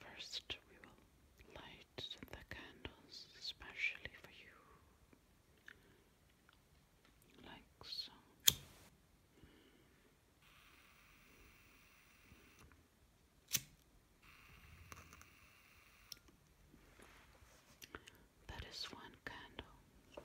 First, we will light the candles especially for you, like so. That is one candle.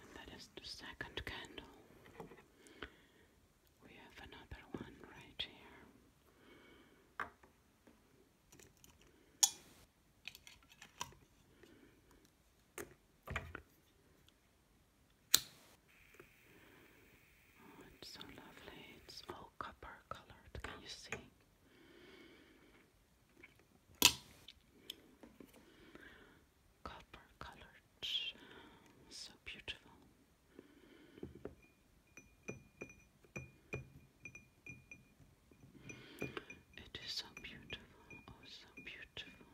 And that is the second candle. We have another one right here. Oh, it's so lovely. It's all copper colored. Can you see? Copper colored. So beautiful. It is so beautiful. Oh, so beautiful.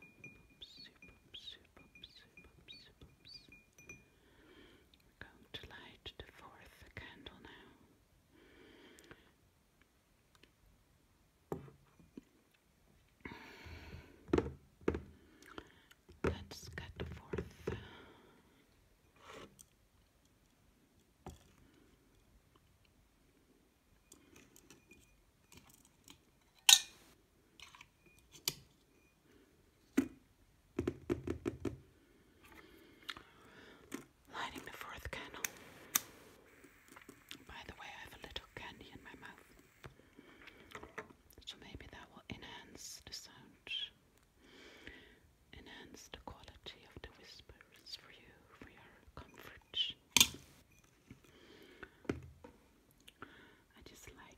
We're going to light the fourth candle now. Let's get the fourth. Lighting the fourth candle. By the way, I have a little candy in my mouth, so maybe that will enhance the sound, enhance the quality of the whispers for you, for your comfort. I just like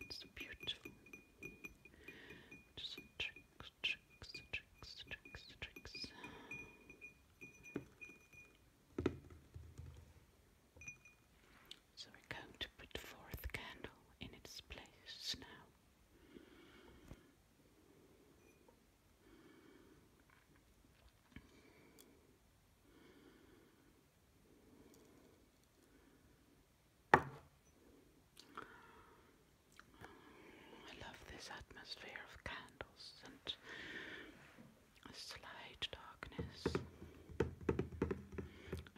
it's beautiful. Just tricks, tricks, tricks, tricks, tricks. So we're going to put the fourth candle in its place now. I love this atmosphere of candles and a slight darkness.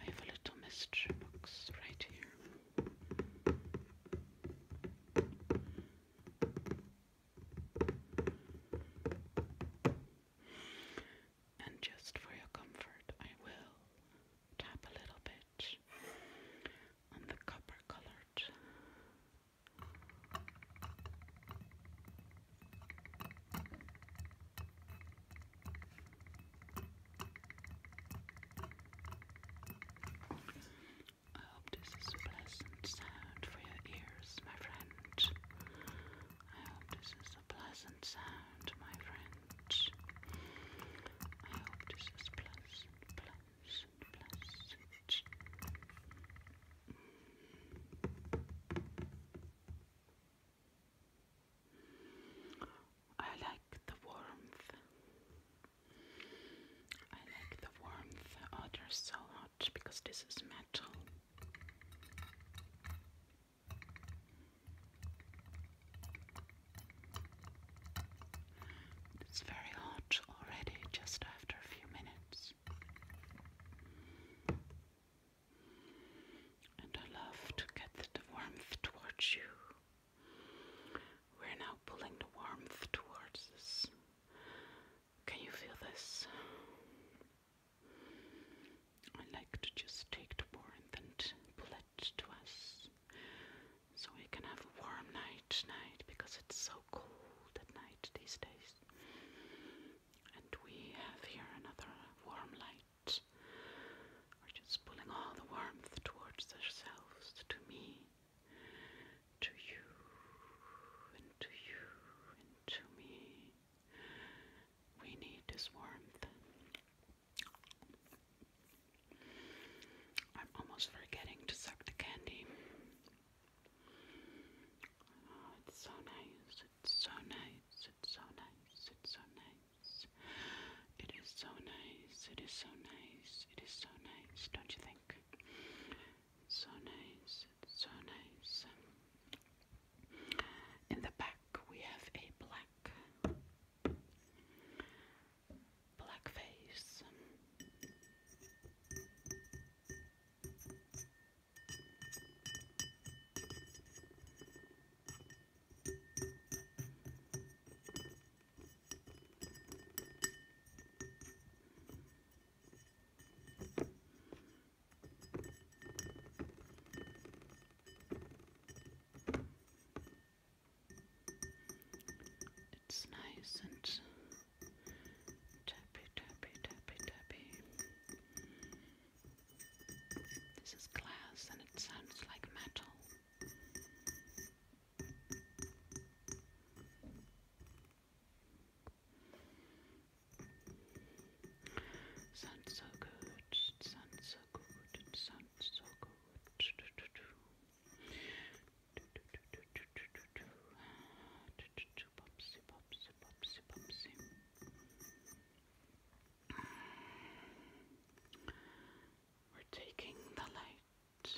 I have a little mystery box right here. And just for your comfort, I will tap a little bit on the copper colored. I hope this is a pleasant sound for your ears my friend. I hope this is a pleasant sound, my friend. I hope this is pleasant, pleasant, pleasant. I like the warmth. I like the warmth. Oh, they're so hot because this is metal. It's very hot already just after a few minutes. And I love to get the warmth towards you. We're now pulling the warmth towards us. Can you feel this? I like to just take the warmth and pull it to us so we can have a warm night tonight because it's so cold at night these days. And we have here another warm light. We're just pulling all the warmth towards ourselves, to me, to you, and to you, and to me. We need his warmth. I'm almost forgetting to suck the candy. Oh, it's so nice. It's so nice. It's so nice. It's so nice. It is so nice. It is so nice. It is so nice. Don't you think? So nice, so nice. In the back we have a black black face. It's nice and tappy, tappy, tappy, tappy. This is glass and it sounds like metal. Sounds so good. Sounds so good. Sounds so good. We're taking the light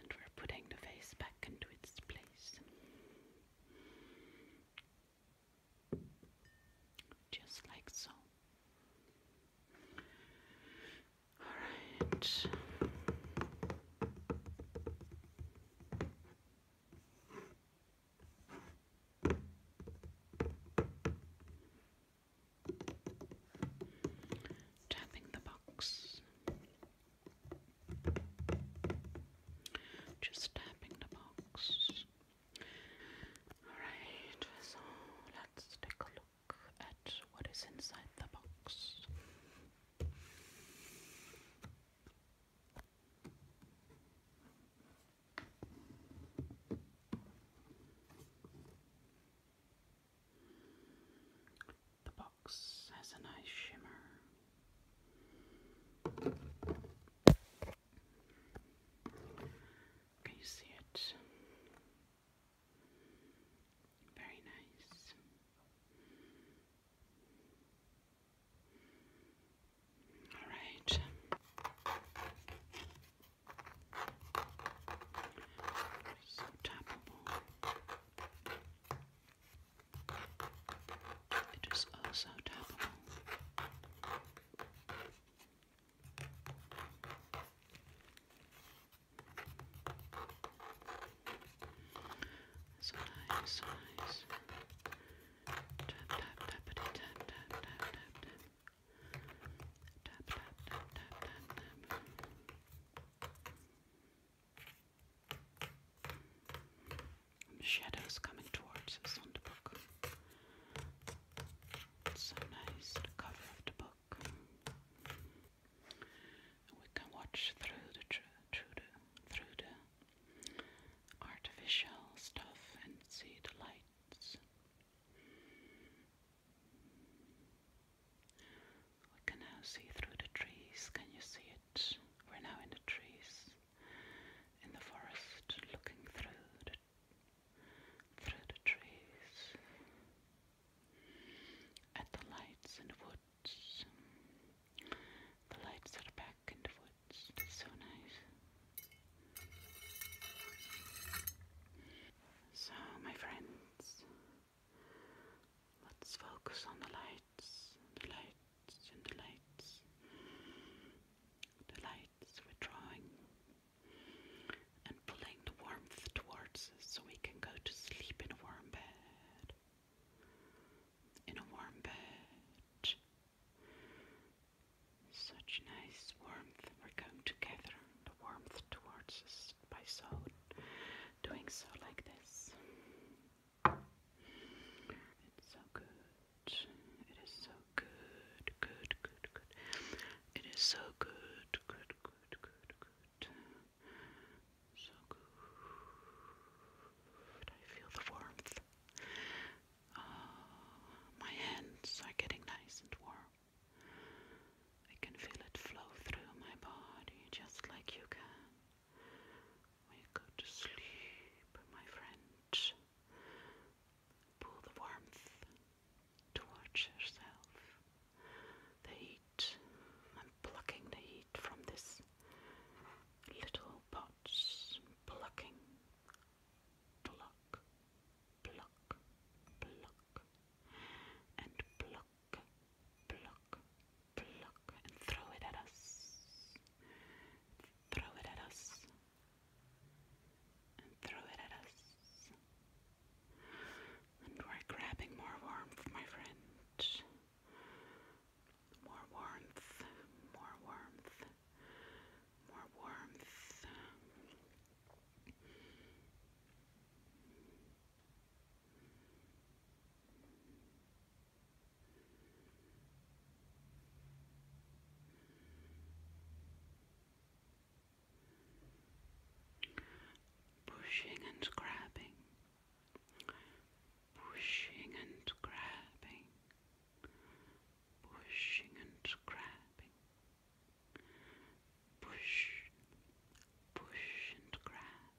and we're putting the face back into its place. Just like so. Alright. Tapping the box. Just tapping the box. Alright, so let's take a look at what is inside the box. The box box has a nice shimmer. Can you see it? Very nice. All right. So tappable. It is also tappable. Tap, tap, tappity, tap, tap, tap, tap, tap. Tap, tap, tap, tap, tap, tap. Shadows coming towards us on book. It's cover of the book. We can watch through the through the through the artificial stuff and see the lights. We can now see through the trees. Can you see we're now in the trees, in the forest, looking through the through the trees at the lights in the woods. The lights are back in the woods. so nice. So, my friends, let's focus on the light lights, the lights, and the lights. The lights withdrawing and pulling the warmth towards us so we can go to sleep in a warm bed. In a warm bed. Such nice warmth. We're going together. the warmth towards us by so doing so like this. It's so good. It is so good. Good, good, good. It is so good. Good, good, good, good. So good. I feel the warmth. Oh, my hands are getting nice and warm. I can feel it flow through my body just like you can. We go to sleep, my friend. Pull the warmth towards yourself. The heat, I'm plucking the heat from this little pot. Plucking, pluck, pluck, pluck, and pluck, pluck, pluck rock and throw it at us. Throw it at us. And throw it at us. And we're grabbing more warmth, my friend. More warmth, more warmth, more warmth. More warmth, Pushing and grabbing, pushing and grabbing, pushing and grabbing, push, push and grab,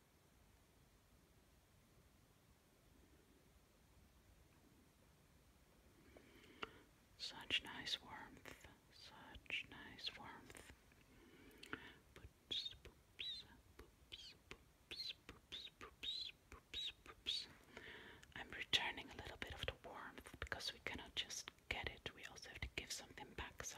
Such nice warmth, such nice warmth. I'm returning a little bit of the warmth because we cannot just get it, we also have to give something back. So,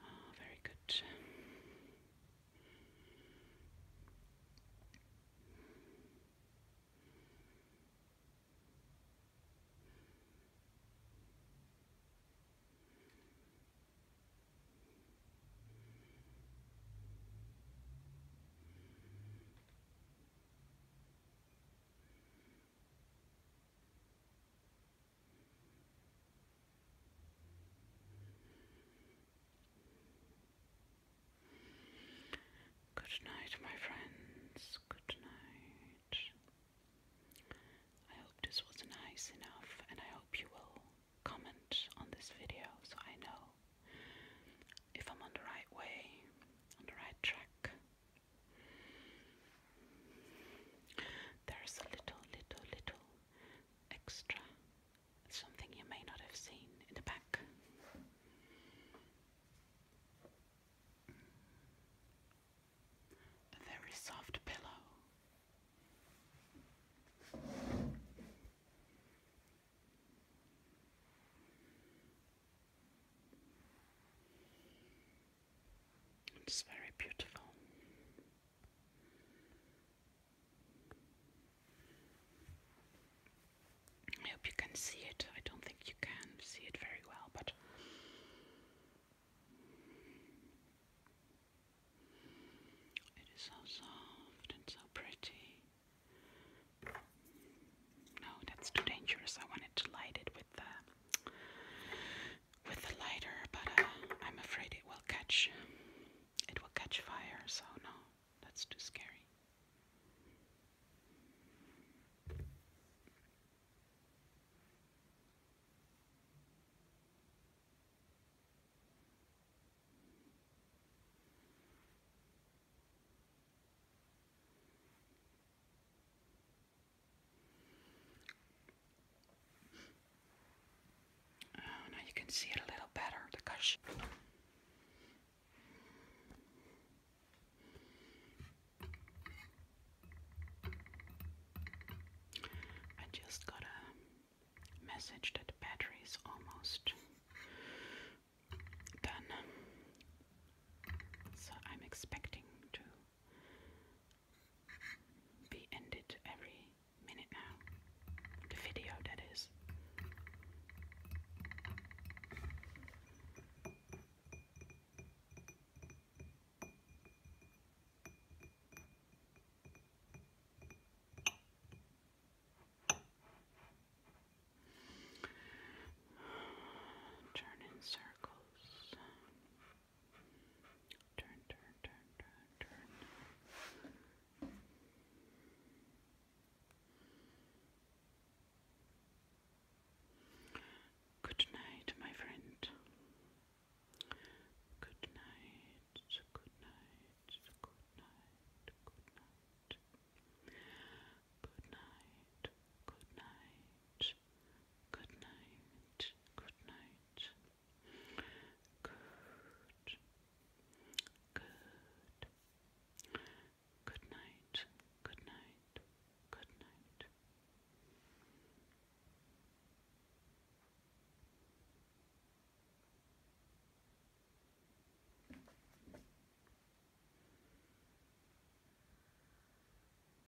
Oh, very good. Good night, my friends. Good night. I hope this was nice enough, and I hope you will comment on this video so I know if I'm on the right way, on the right track. There's a little, little, little extra, something you may not have seen in the back. A soft pillow. It's very beautiful. I hope you can see it. I don't think you can see it very well, but it is so soft and so pretty. No, that's too dangerous. I wanted to light it with the uh, with the lighter, but uh, I'm afraid it will catch. It will catch fire, so no, that's too scary. Oh, now you can see it a little better, the I just got a message that the battery is almost done. So I'm expecting to be ended every minute now. The video, that is. Turn circles. Turn, turn, turn, turn, turn. Good night, my friend. Good night, good night, good night, good night. Good night, good night. Good night. Good night. Good. Good. Good night. Good night. Good night.